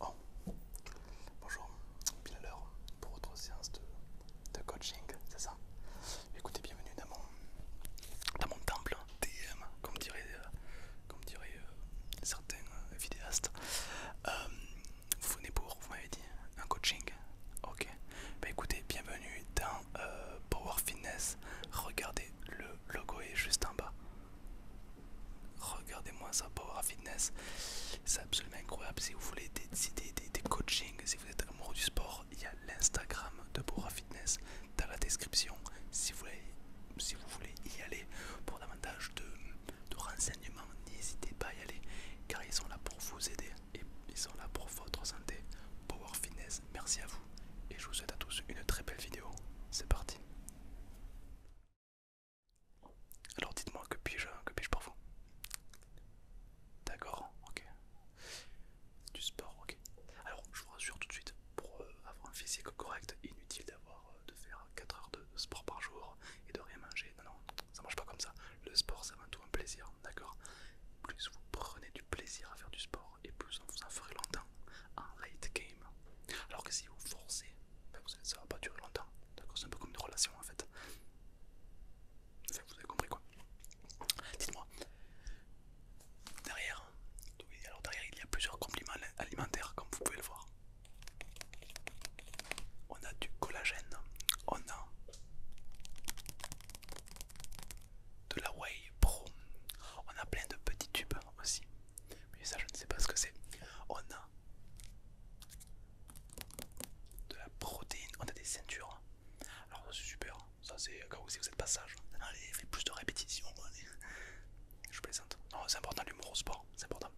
Oh. Bonjour, pile à l'heure pour votre séance de, coaching, c'est ça Écoutez, bienvenue dans mon, temple TM, comme dirait, euh, comme euh, certains euh, vidéastes. vous venez pour, vous m'avez dit, un coaching Ok, ben, écoutez, bienvenue dans Power Fitness. Regardez le logo est juste en bas. Regardez-moi ça, Power Fitness. C'est absolument incroyable. Si vous voulez des, des, des, coachings, si vous êtes amoureux du sport, il y a l'Instagram de Power Fitness dans la description. Si vous voulez, si vous voulez y aller pour davantage de, de renseignements, n'hésitez pas à y aller car ils sont là pour vous aider et ils sont là pour votre santé. Power Fitness, merci à vous et je vous souhaite à tous une très belle vidéo. C'est parti. Alors dites-moi que puis-je que puis par vous D'accord, ok. Du sport, ok. Alors je vous rassure tout de suite, pour euh, avoir un physique correct, inutile d'avoir euh, de faire 4 heures de, de sport par jour et de rien manger. Non, non, ça marche pas comme ça. Le sport c'est avant tout un plaisir, d'accord Plus vous prenez du plaisir à faire du sport, et plus on vous en ferait longtemps en late game. Alors que si vous forcez, ben, ça va pas durer longtemps. c'est un peu comme une relation en fait. vous avez compris quoi. Dites-moi. Derrière, derrière il y a plusieurs compléments alimentaires comme vous pouvez le voir. On a du collagène, on a de la whey pro, on a plein de petits tubes aussi. Mais ça je ne sais pas ce que c'est. On a de la protéine, on a des ceintures. Alors c'est super, ça c'est si vous êtes passage. Allez, fais plus de répétitions. Je plaisante. Non, c'est important l'humour au sport, c'est important.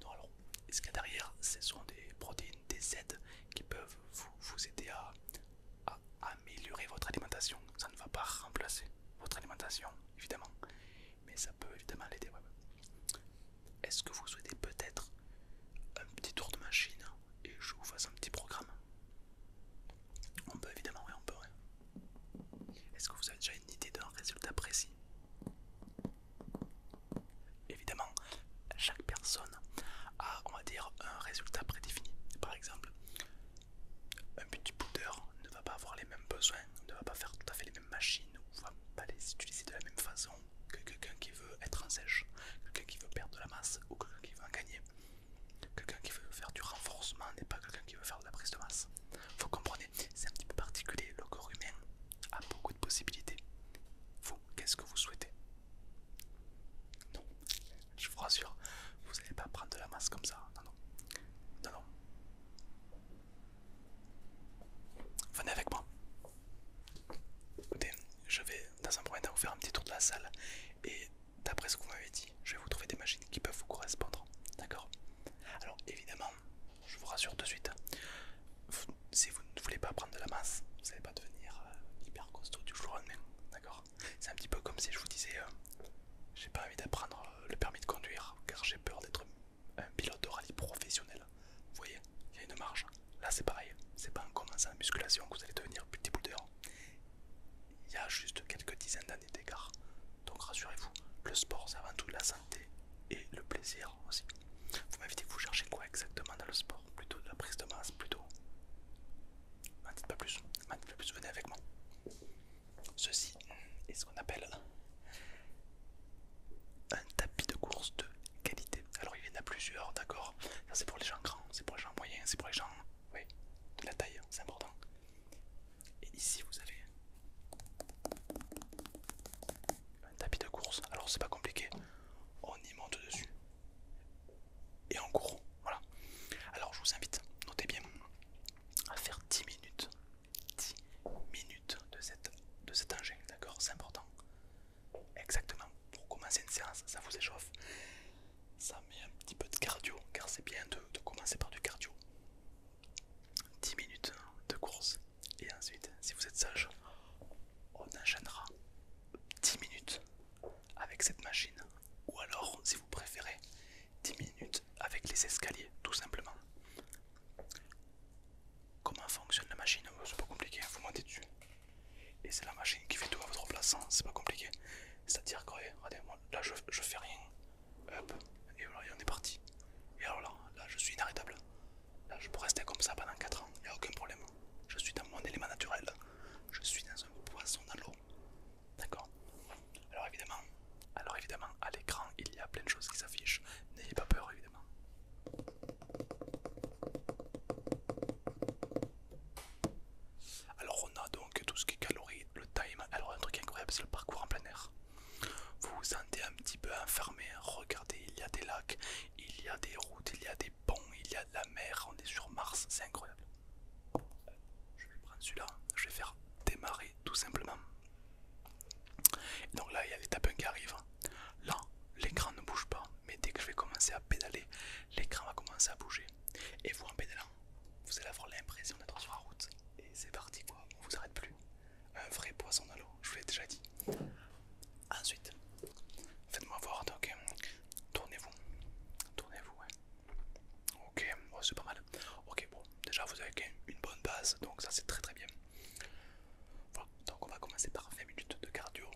donc alors, ce qu'il y a derrière, ce sont des protéines, des aides qui peuvent vous, aider à améliorer votre alimentation. Ça ne va pas remplacer votre alimentation, évidemment, mais ça peut évidemment l'aider. Est-ce que vous souhaitez peut-être un petit tour de machine et je vous fasse un petit programme On peut évidemment, oui, on peut. Est-ce que vous avez déjà une idée d'un résultat précis Évidemment, chaque personne a, on va dire, un résultat prédéfini. Par exemple, un petit booter ne va pas avoir les mêmes besoins, ne va pas faire tout à fait les mêmes machines, ne va pas les utiliser de la même façon que quelqu'un qui veut être en sèche, quelqu'un qui veut perdre de la masse ou quelqu'un qui veut en gagner. Quelqu'un qui veut faire du renforcement n'est pas quelqu'un qui veut faire de la prise de masse. Vous comprenez, c'est un petit peu particulier, le corps humain a beaucoup de possibilités. Vous, qu'est-ce que vous souhaitez Non, je vous rassure, vous n'allez pas prendre de la masse comme ça. Non, non. Venez avec moi. Écoutez, je vais dans un premier temps vous faire un petit tour de la salle et d'après ce que vous m'avez dit, je vais vous trouver des machines qui peuvent vous correspondre. D'accord Alors évidemment, je vous rassure de suite, si vous ne voulez pas prendre de la masse, vous n'allez pas devenir euh, hyper costaud du jour au lendemain. D'accord c'est un petit peu comme si je vous disais euh, j'ai pas envie d'apprendre euh, le permis de conduire car j'ai peur d'être un pilote de rallye professionnel. Vous voyez, il y a une marge. Là c'est pareil, c'est pas en commençant la musculation que vous allez devenir petit boudeur Il y a juste quelques dizaines d'années d'écart. Donc rassurez-vous, le sport c'est avant tout la santé et le plaisir aussi. Vous m'invitez vous cherchez quoi exactement dans le sport Plutôt de la prise de masse, plutôt M'en dites pas plus, venez avec moi. Ceci est ce qu'on appelle un tapis de course de qualité. Alors il y en a plusieurs, d'accord Ça c'est pour les gens grands, c'est pour les gens moyens, c'est pour les gens oui, de la taille, c'est important. Et ici vous avez un tapis de course. Alors c'est pas compliqué, on y monte dessus, et en court, voilà. Alors je vous invite, notez bien, à faire 10 minutes, 10 minutes de cet de cet engin, d'accord C'est important. Exactement, pour commencer une séance, ça vous échauffe, ça met un petit peu de cardio, car c'est bien de, de commencer par du cardio. 10 minutes de course, et ensuite, si vous êtes sage, on enchaînera 10 minutes avec cette machine, ou alors, si vous préférez, 10 minutes avec les escaliers, tout simplement. Comment fonctionne la machine oh, C'est pas compliqué, hein, vous montez dessus. Et c'est la machine qui fait tout à votre place, hein, c'est pas compliqué. C'est-à-dire que, là je, fais rien. Hop, et voilà, on est parti. Et alors là, là je suis inarrêtable. Là je peux rester comme ça pendant 4 ans, il n'y a aucun problème. Je suis dans mon élément naturel. Je suis dans un poisson dans l'eau. D'accord Alors évidemment, alors évidemment, à l'écran, il y a plein de choses qui s'affichent. N'ayez pas peur, évidemment. Alors on a donc tout ce qui est calories, le time. Alors un truc incroyable, c'est le parcours en plein air. Vous vous sentez un petit peu enfermé. Regardez, il y a des lacs, il y a des routes, il y a des ponts, il y a de la mer. On est sur Mars, c'est incroyable. Je vais prendre celui-là, je vais faire démarrer tout simplement. Et donc là, il y a les tapins qui arrivent. Là, l'écran ne bouge pas, mais dès que je vais commencer à pédaler, l'écran va commencer à bouger. Et vous en pédalant, vous allez avoir l'impression d'être sur la route. Et c'est parti quoi, on vous arrête plus. Un vrai poisson dans l'eau, je vous l'ai déjà dit. Ensuite, faites-moi voir, donc tournez-vous. Tournez-vous, Ok, oh, c'est pas mal. Ok, bon, déjà vous avez une bonne base, donc ça c'est très très bien. donc on va commencer par 20 minutes de cardio,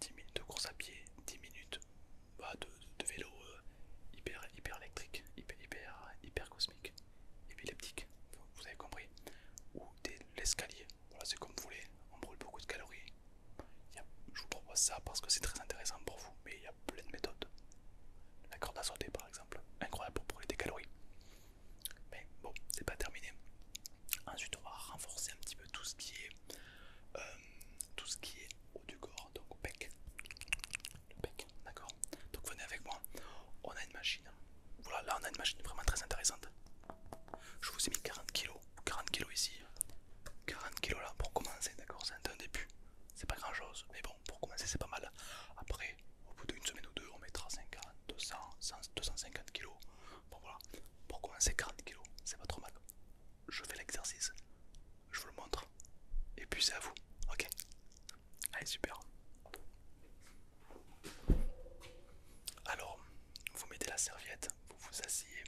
10 minutes de course à pied, 10 minutes bah, de, vélo euh, hyper, électrique, hyper, hyper, cosmique, épileptique, vous avez compris, ou de l'escalier, voilà c'est comme vous voulez, on brûle beaucoup de calories, je vous propose ça parce que c'est très intéressant pour vous, mais il y a plein de méthodes. La corde à sauter par exemple, incroyable pour brûler des calories. Mais bon, c'est pas terminé. Ensuite, on va renforcer un petit peu tout ce qui est euh, tout ce qui est haut du corps, donc pec. Le pec, d'accord. Donc venez avec moi. On a une machine. Voilà, là on a une machine vraiment très intéressante. Je vous ai mis 40 kg 40 kg ici, 40 kg là pour commencer, d'accord C'est un début, c'est pas grand chose, mais bon, pour commencer c'est pas mal. Après, au bout d'une semaine ou deux, on mettra 50, 200, 250 kg. Bon voilà, pour commencer 40 kg, c'est pas trop mal. Je fais l'exercice, je vous le montre, et puis c'est à vous, ok Allez, super. Alors, vous mettez la serviette, vous vous asseyez,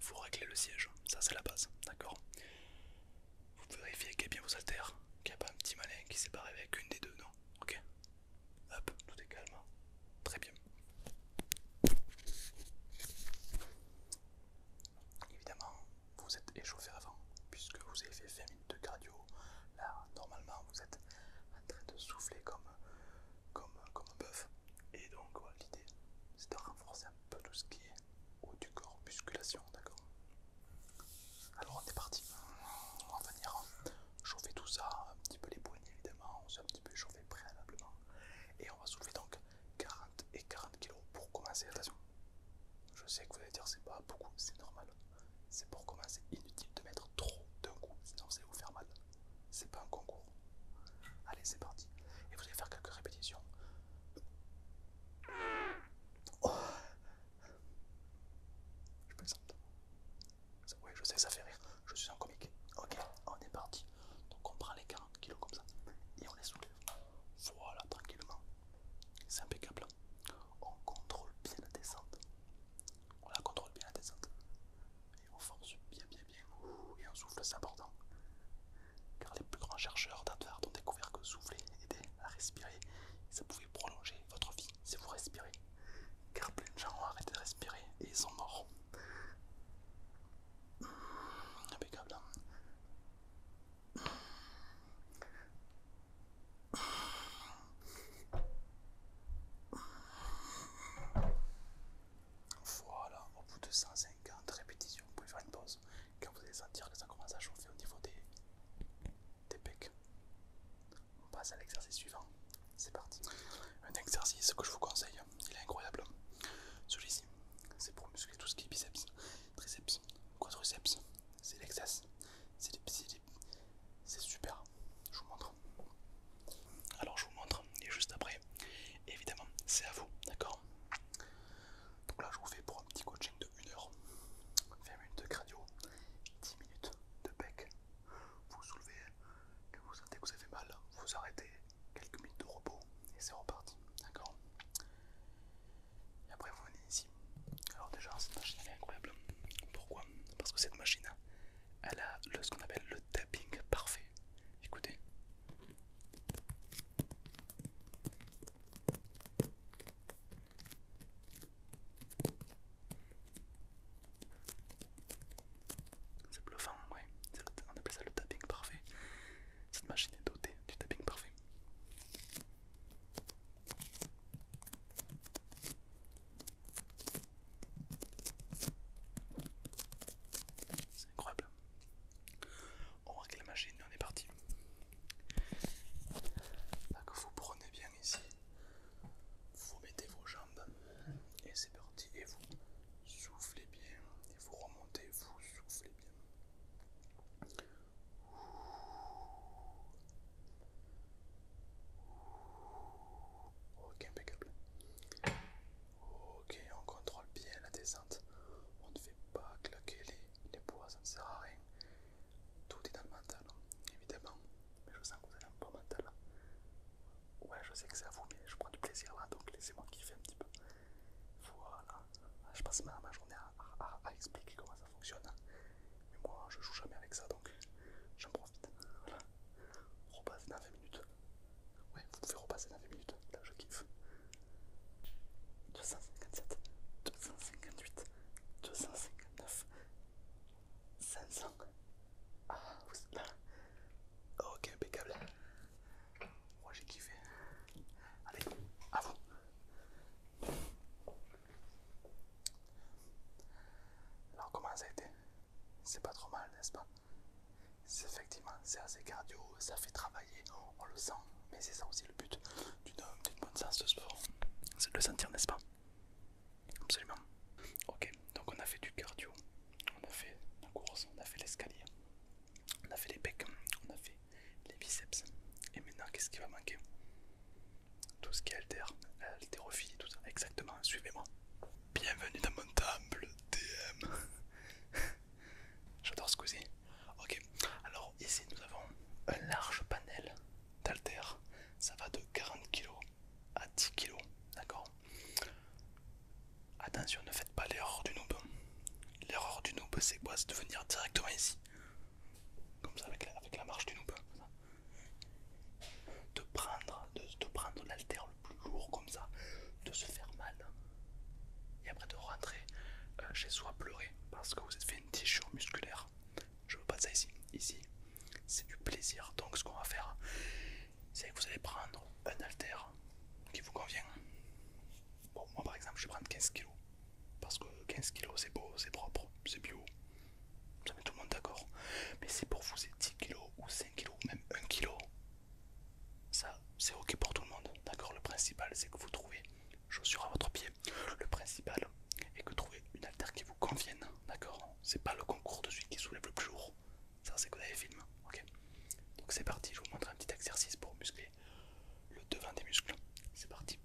vous réglez le siège, hein. ça c'est la base, d'accord Vous vérifiez qu'il y a bien vos haltères, qu'il n'y a pas un petit malin qui s'est barré avec une des deux, non Ok Hop, tout est calme. Hein. Très bien. Évidemment, vous êtes échauffé avant, puisque vous avez fait 20 minutes de cardio. Là, normalement, vous êtes en train de souffler comme, comme, comme un bœuf. Et donc, l'idée, c'est de renforcer un peu tout ce qui est ou du corps, musculation, d'accord Alors on est parti, on va venir chauffer tout ça, un petit peu les poignets évidemment, on s'est un petit peu chauffé préalablement. Et on va soulever donc 40 et 40 kg pour commencer, attention. Je sais que vous allez dire c'est pas beaucoup, c'est normal. C'est pour commencer, inutile de mettre trop d'un coup, sinon ça va vous faire mal. C'est pas un concours. Allez, c'est parti. Et vous allez faire quelques répétitions. Oh. peux Je plaisante. Oui, je sais, ça fait rire. Je suis un comique. Ok, on est parti. Donc on prend les 40 kilos comme ça et on les soulève. Voilà, tranquillement. C'est impeccable. Hein. On contrôle bien la descente. On la contrôle bien la descente. Et on force bien, bien, bien. Et on souffle, c'est important car les plus grands chercheurs d'Harvard ont découvert que souffler aidait à respirer et ça pouvait prolonger votre vie si vous respirez, car plein de gens ont arrêté de respirer et ils sont morts. Hmm, hein. hmm. Voilà, au bout de 150 répétitions, vous pouvez faire une pause quand vous allez sentir que ça commence à chauffer au niveau des, pecs. On passe à l'exercice suivant, c'est parti. Un exercice que je vous conseille, il est incroyable. Celui-ci, c'est pour muscler tout ce qui est biceps, triceps, quadriceps, c'est l'excess, c'est super. Je vous montre. Alors je vous montre et juste après évidemment c'est à vous d'accord donc là je vous fais pour un petit coaching de 1 heure 20 minutes de cardio 10 minutes de bec vous soulevez que vous sentez que vous avez mal vous arrêtez quelques minutes de repos et c'est reparti d'accord et après vous venez ici alors déjà cette machine elle est incroyable pourquoi parce que cette machine elle a ce qu'on appelle le tapping parfait écoutez c'est bluffant, ouais. on appelle ça le tapping parfait. Cette machine est dotée du tapping parfait. C'est incroyable. On que la machine on est parti. Donc vous prenez bien ici, vous mettez vos jambes et c'est parti. Et vous soufflez bien et vous remontez, vous soufflez bien. Ok, impeccable. Ok, on contrôle bien la descente. On ne fait pas claquer les, les bois, ça ne sert à rien. Tout est dans le mental, hein, évidemment. Mais je sens que vous avez un bon mental là. Hein. Ouais, je sais que c'est à vous, mais je prends du plaisir là, donc laissez-moi kiffer un petit peu. Voilà. Ah, je passe ma, journée à, expliquer comment ça fonctionne. Hein. Mais moi, je joue jamais avec ça, donc j'en profite. Voilà. Repasse dans 20 minutes. Ouais, vous pouvez repasser dans 20 minutes, là je kiffe. 257, 258, 259, 500. Ah, vous êtes là Ok, impeccable. Moi j'ai kiffé. Allez, à vous. Alors comment ça a été C'est pas trop mal, n'est-ce pas Effectivement, c'est assez cardio, ça fait travailler, on le sent, mais c'est ça aussi le but d'une bonne sens de sport. C'est de le sentir, n'est-ce pas Absolument. Ok, donc on a fait du cardio, on a fait la course, on a fait l'escalier, on a fait les becs, on a fait les biceps. Et maintenant, qu'est-ce qui va manquer Tout ce qui est alter, haltérophilie, tout ça. Exactement, suivez-moi. Bienvenue dans mon table DM. J'adore ce cousin. Ok, alors ici nous avons un large panel d'alter. Ça va de 40 kg à 10 kg, d'accord Attention, ne faites pas l'erreur du noob. L'erreur du noob, c'est quoi C'est de venir directement ici. Comme ça, avec la, marche du noob. De prendre, de, prendre plus lourd comme ça, de se faire mal hein. et après de rentrer euh, chez soi pleurer parce que vous êtes fait une déchirure musculaire. Je veux pas de ça ici. Ici, c'est du plaisir. Donc ce qu'on va faire, c'est que vous allez prendre un haltère qui vous convient. Bon, moi par exemple, je vais prendre 15 kg parce que 15 kg c'est beau, c'est propre, c'est bio. Ça met tout le monde d'accord. Mais c'est pour vous, c'est 10 kg ou 5 kg ou même 1 kg. Ça, c'est ok pour tout le monde, d'accord Le principal, c'est que vous trouvez chaussures à votre pied. Le principal est que vous trouvez une altère qui vous convienne, d'accord C'est pas le concours de celui qui soulève le plus lourd. Ça, c'est que vous avez film, ok Donc c'est parti, je vous montre un petit exercice pour muscler le devant des muscles. C'est parti.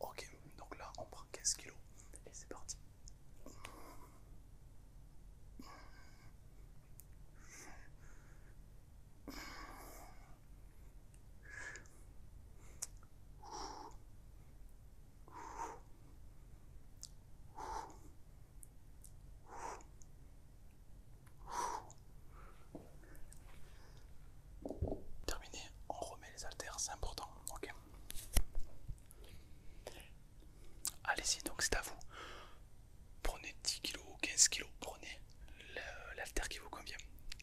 Ok, donc là on prend 15 kg c'est parti. Terminé, on remet les haltères, c'est important. ok Allez-y, donc c'est à vous. Prenez 10 kg ou 15 kg, prenez l'alter qui vous convient.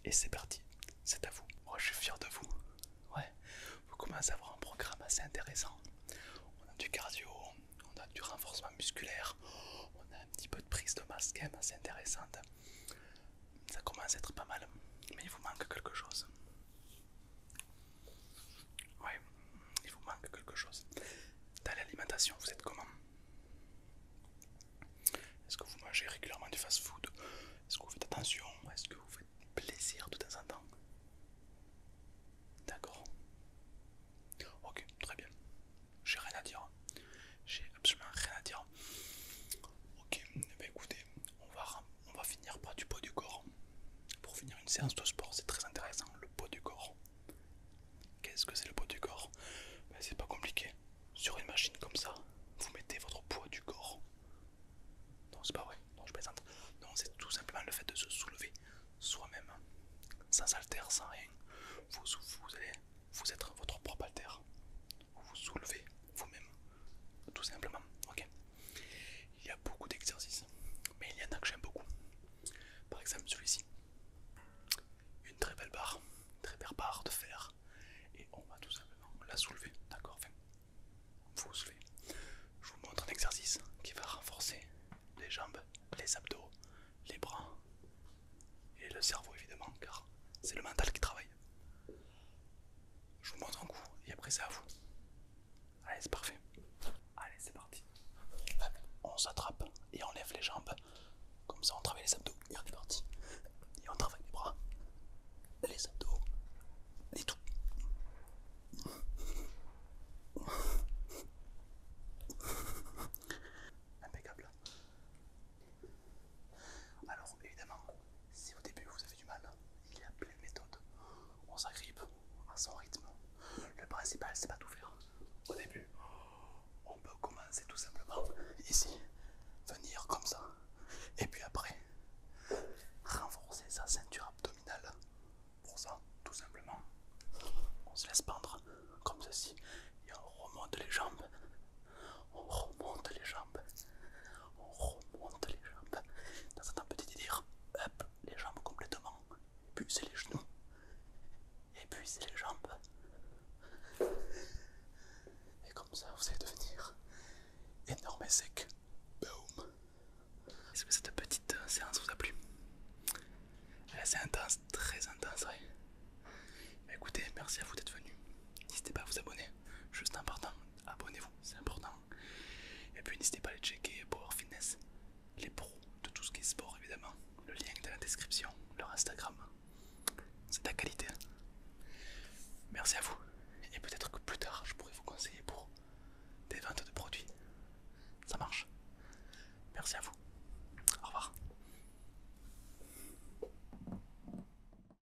Et c'est parti, c'est à vous. Moi je suis fier de vous. Ouais, vous commencez à avoir un programme assez intéressant. On a du cardio, on a du renforcement musculaire, on a un petit peu de prise de masse quand même assez intéressante. Ça commence à être pas mal, mais il vous manque quelque chose. Ouais, il vous manque quelque chose. Dans l'alimentation, vous êtes comment Est-ce que vous mangez régulièrement du fast-food Est-ce que vous faites attention Est-ce que vous faites plaisir de temps en temps D'accord. Ok, très bien. J'ai rien à dire. J'ai absolument rien à dire. Ok, bah écoutez, on va on va finir par du poids du corps. Pour finir une séance de sport, c'est très intéressant, le poids du corps. Qu'est-ce que c'est le poids du corps ben, C'est pas compliqué. Sur une machine comme ça, vous mettez votre poids du corps. Non, c'est pas vrai, non, je plaisante. Non, c'est tout simplement le fait de se soulever soi-même, sans altère, sans rien. Vous, vous vous être votre propre alter vous vous soulevez vous-même, tout simplement. ok il y a beaucoup d'exercices, mais il y en a que j'aime beaucoup. Par exemple celui-ci, une très belle barre, une très belle barre de fer, et on va tout simplement la soulever, d'accord vous soulevez. Je vous montre un exercice qui va renforcer les jambes, les abdos, les bras et le cerveau évidemment, car c'est le mental qui travaille. Je vous montre un coup et après c'est à vous. Allez, c'est parfait. Allez, c'est parti. On s'attrape et on lève les jambes. Comme ça, on travaille les abdos. Et on parti. Et on travaille les bras, les abdos, Et tout. Impeccable. Alors évidemment, si au début vous avez du mal, il y a plein de méthodes. On s'agrippe à son rythme. Le principal, c'est pas tout faire. Au début, on peut commencer tout simplement ici, venir comme ça, et puis après, renforcer sa ceinture abdominale. Pour ça, tout simplement, on se laisse pendre comme ceci et on remonte les jambes on remonte les jambes, on remonte les jambes dans un petit délire, hop, les jambes complètement, et puis c'est les genoux, et puis c'est les jambes, et comme ça vous allez devenir énorme et sec. Boom! Est-ce que cette petite euh, séance vous a plu? C'est intense, très intense, Écoutez, merci à vous d'être venu. N'hésitez pas à vous abonner, juste partant abonnez-vous, c'est important. Et puis n'hésitez pas à aller checker Power Fitness, les pros de tout ce qui est sport évidemment. Le lien est dans la description, leur Instagram. C'est de la qualité. Merci à vous. Et peut-être que plus tard je pourrai vous conseiller pour des ventes de produits. Ça marche. Merci à vous. Au revoir.